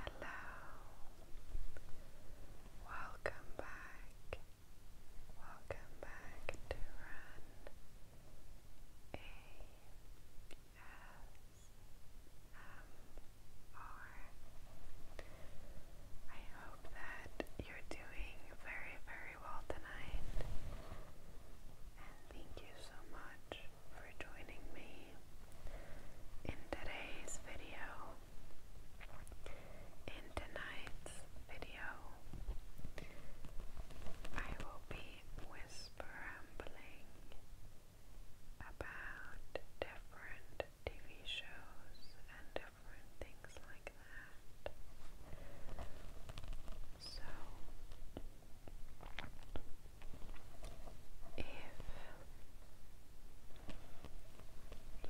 Hello, welcome back, welcome back to Run A S M R. I hope that you're doing very, very well tonight and thank you so much for joining me in today's video, in tonight's video. I will be whispering about different TV shows and different things like that. So, if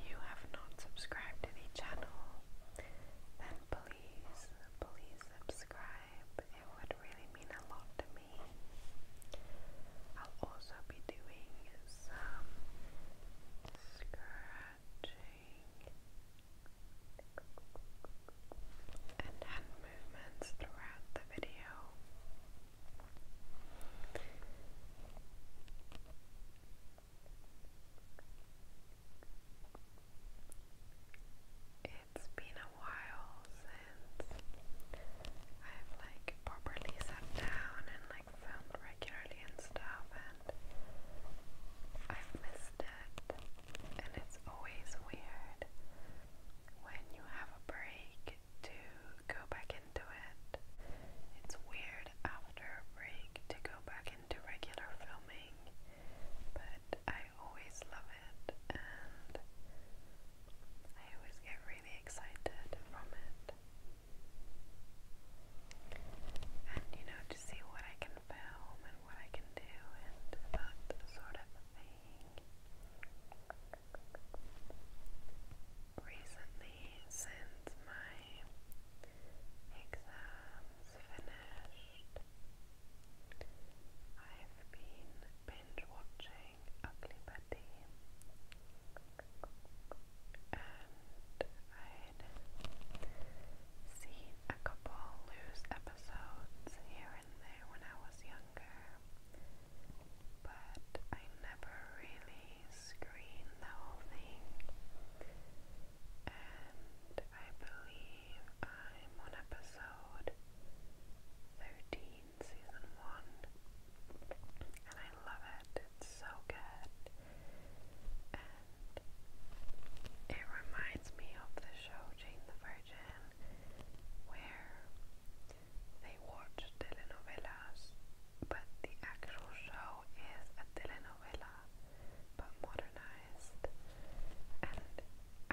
you have not subscribed to the channel, then please, please subscribe. It would really mean a lot to me. I'll also be doing some scratching and hand movements throughout the video. It's been a while since I've like properly sat down and like filmed regularly and stuff and I've missed it and it's always weird when you have a break to go back into it. It's weird after a break to go back into regular filming, but I always love it and I always get really excited from it. And you know, to see what I can film and what I can do and that sort of thing. Recently, since my exams finished, I've been binge watching Ugly Betty, and I'd seen a couple loose episodes here there when I was younger, but I never really screened the whole thing. And I believe I'm on episode 13, season 1, and I love it, it's so good. And it reminds me of the show Jane the Virgin, where they watch telenovelas, but the actual show is a telenovela but modernized, and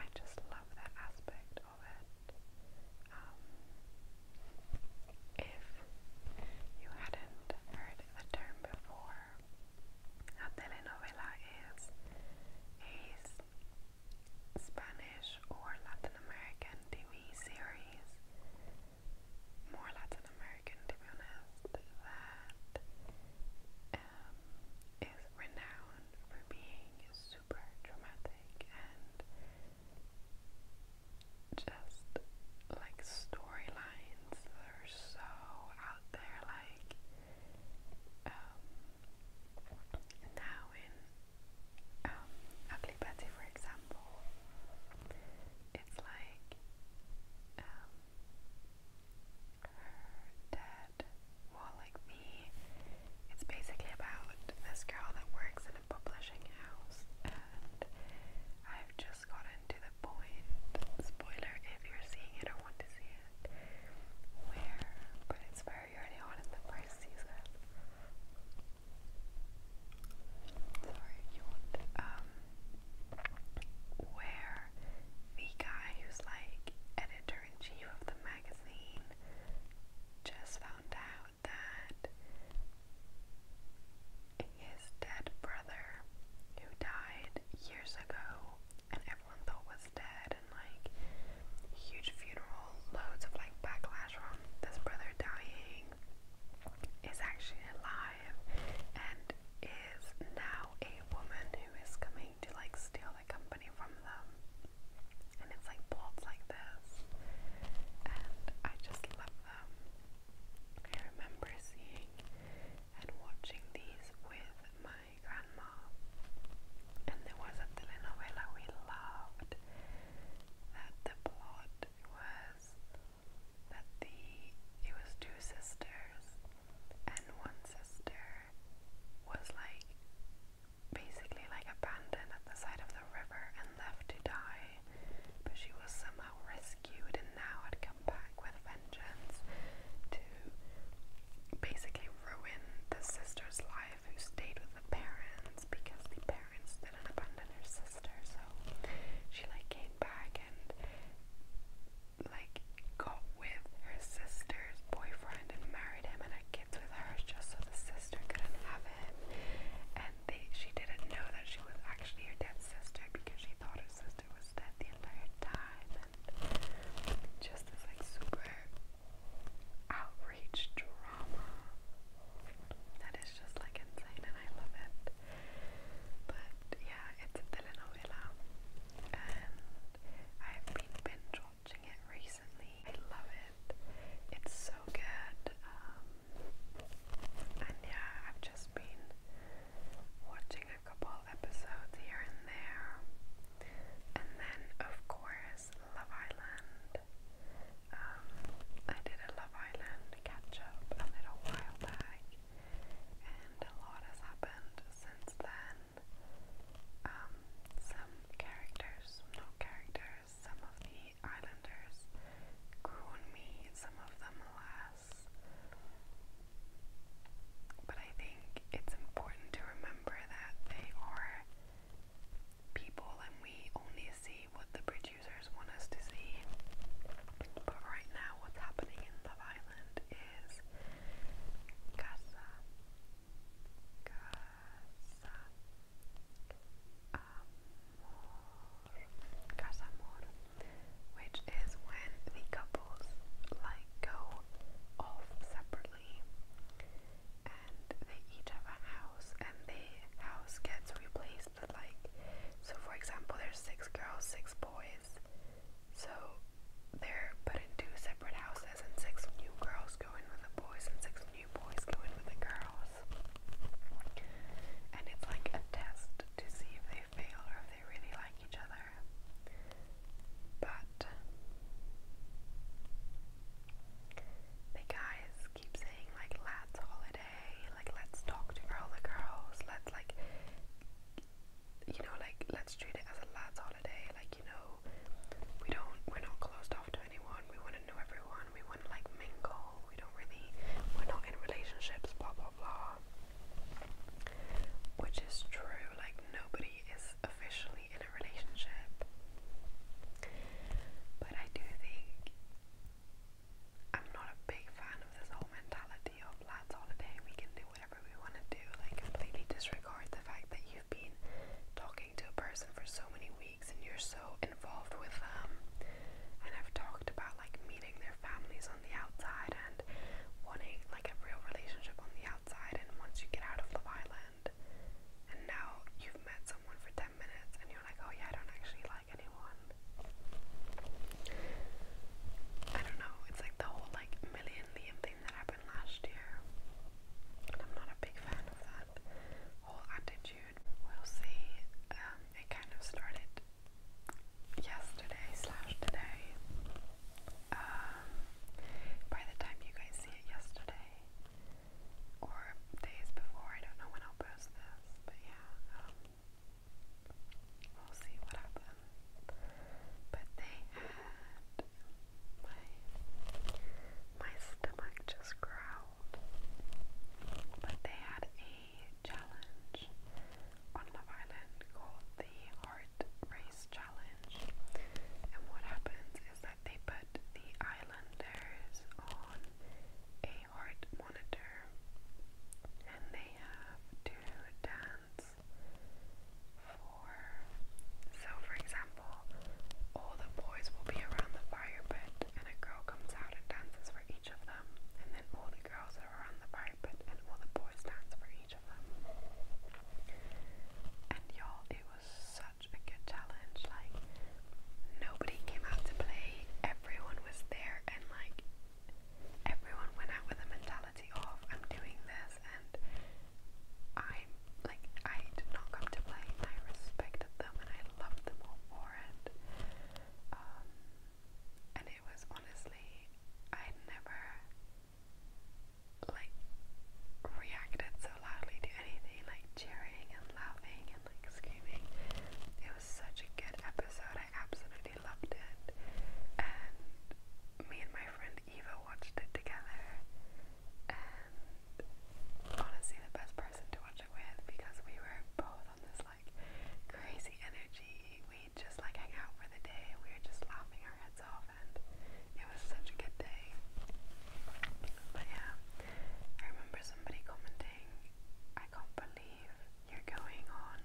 I just love that aspect of it. Um, if you hadn't heard the term before, a telenovela is a Spanish or Latin American TV series. More Latin American, to be honest, that um, is renowned for being super dramatic and just like storylines that are so out there, like um, now in um, Ugly Betty, for example, it's like um, her dad, well, like me, it's basically about this girl that works in a publishing house, and I've just gotten to the point. Spoiler if you're seeing it or want to see where, but it's very early on in the first season. Sorry, um where the guy who's like editor in chief of the magazine just found out that his dead brother, who died years ago, and everyone thought was dead and like huge funeral, loads of like backlash from this brother dying is actually alive and is now a woman who is coming to like steal the company from them. And it's like plots like this. And I just love them. I remember seeing and watching these with my grandma. And there was a telenovela we loved that the plot was that the it was two sisters and one sister was like basically like abandoned at the side of the river and left to die but she was somehow rescued and now had come back back with a vengeance to basically ruin the sister's life who stayed with the parents because the parents didn't abandon her sister. So she like came back and like got with her sister's boyfriend and married him and had kids with her just so the sister couldn't have him. And they, she didn't know that she was actually her dead sister because she thought her sister was dead the entire time. Just this like super outreach drama that is just like insane and I love it. But yeah, it's a telenovela and I've been binge watching it recently. I love it. It's so good. Um, and yeah, I've just been watching a couple episodes here and there. And then, of course, Love Island. Um, I did a Love Island catch up a little while back, and a lot has happened since then. Um, some characters, not characters, some of the islanders grew on me, some of them less. But I think it's important to remember that they are people and we only see what the producers want us to see. But right now, what's happening in Love Island is Casa. Casa. Amor. Casa Amor. Which is when the couple like go off separately and they each have a house and the house gets replaced with like so for example there's six girls, six boys. So they're put in two separate houses and six new girls go in with the boys and six new boys go in with the girls. And it's like a test to see if they feel or if they really like each other. But the guys keep saying like let's holiday, like let's talk to all the girls, let's like you know, like let's treat it as a lads holiday, like you know, we don't we're not closed off to anyone, we wanna know everyone, we wanna like mingle, we don't really we're not in relationships, blah blah blah. Which is true, like, nobody is officially in a relationship. But I do think I'm not a big fan of this whole mentality of lads all the day. we can do whatever we want to do, like, completely disregard the fact that you've been talking to a person for so many weeks and you're so involved with them. And I've talked about like meeting their families on the outside and wanting like a real relationship on the outside and once you get out of Love Island and now you've met someone for 10 minutes and you're like, oh yeah, I don't actually like anyone. I don't know, it's like the whole like million Liam thing that happened last year. I'm not a big fan of that whole attitude. We'll see. Um, it kind of started yesterday slash today. Um, by the time you guys see it yesterday or days before, I don't know when I'll post this, but yeah, um, we'll see what happens. But they had my my stomach just growled. But they had a challenge on Love Island called the Heart Race Challenge. And what happens is that they put the islanders on a heart monitor and they have to dance for. So, for example, all the boys will be around the fire pit and a girl comes out and dances for each of them, and then all the girls are around the fire carpet and all the boy stands for each of them. And y'all, it was such a good challenge. Like, nobody came out to play, everyone was there, and like, everyone went out with a mentality of, I'm doing this, and I'm like, I did not come to play, and I respected them, and I loved them all for it. Um, and it was honestly I never like reacted so loudly to anything like cheering and laughing and like screaming. It was such a good episode. I absolutely loved it. And me and my friend Eva watched it together. And honestly the best person to watch it with because we were both on this like crazy energy. We just like hang out for the day we were just laughing our heads off and it was such a good day. But yeah, I remember somebody commenting, I can't believe you're going on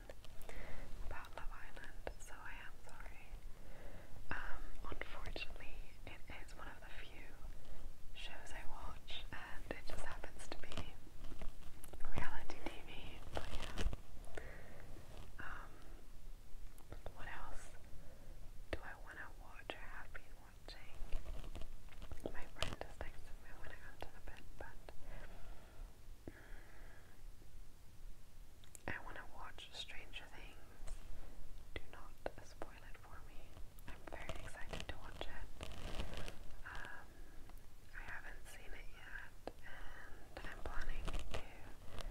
about Love Island, so I am sorry. Um, unfortunately it is one of the few shows I watch and it just happens to be reality TV, but yeah. Um, what else do I want to watch or have been watching? My friend is texting me when I got to the bed, but mm, I want to watch Stranger Things. Do not spoil it for me. I'm very excited to watch it. Um, I haven't seen it yet, and I'm planning to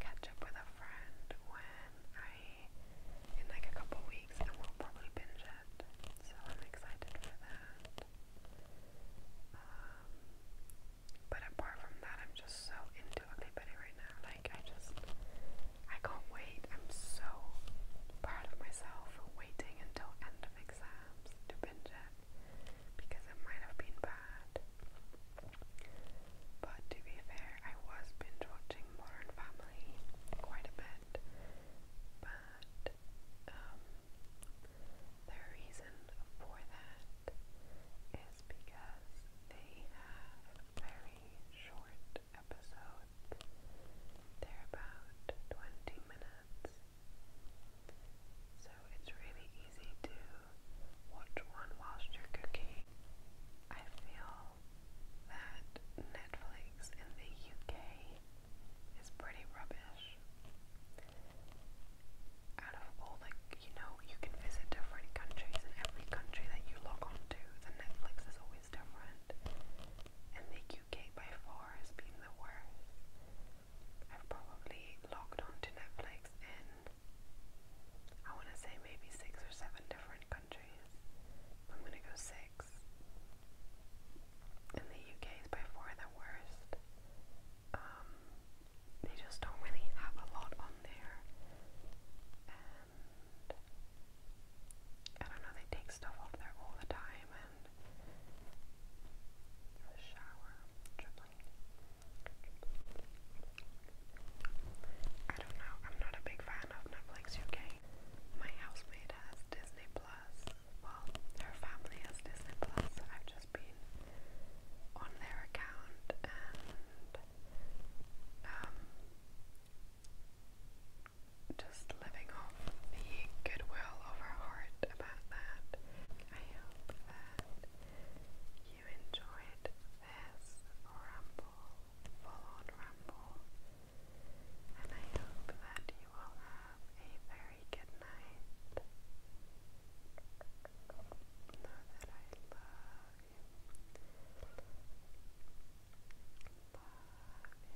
catch up with a friend when I, in like a couple weeks, and we'll probably binge it. So I'm excited for that. Um, but apart from that, I'm just so into Ugly right now. Like, I just, I can't wait. I'm so proud of myself for waiting until end of exams to binge it because it might have been bad. But to be fair, I was binge watching Modern Family quite a bit, but um, the reason for that is because they have very short episodes. They're about 20 minutes so it's really easy to watch one whilst you're cooking. I feel that Netflix in the UK is pretty rubbish. Out of all, like, you know, you can visit different countries, and every country that you log on to, the Netflix is always different. And the UK by far has been the worst. I've probably logged on to Netflix in I want to say maybe six or seven different countries. I'm gonna go six. And the UK is by far the worst. Um, they just don't really have a lot on there. And I don't know, they take stuff off there all the time and the shower. I don't know. I'm not a big fan of Netflix UK. My housemate has Disney Plus. Well, her family has Disney Plus. I've just been on their account and um just living off the goodwill of her heart about that. I hope that you enjoyed this ramble, full ramble, and I hope that you will have a very good night. that I love you.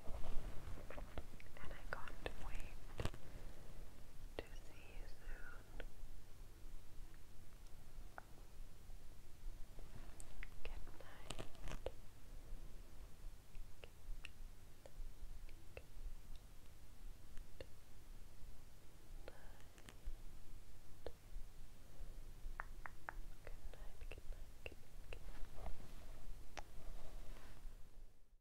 Love you. And I can't wait to see you soon. Good night. Good night. Good night. Good night. Good night.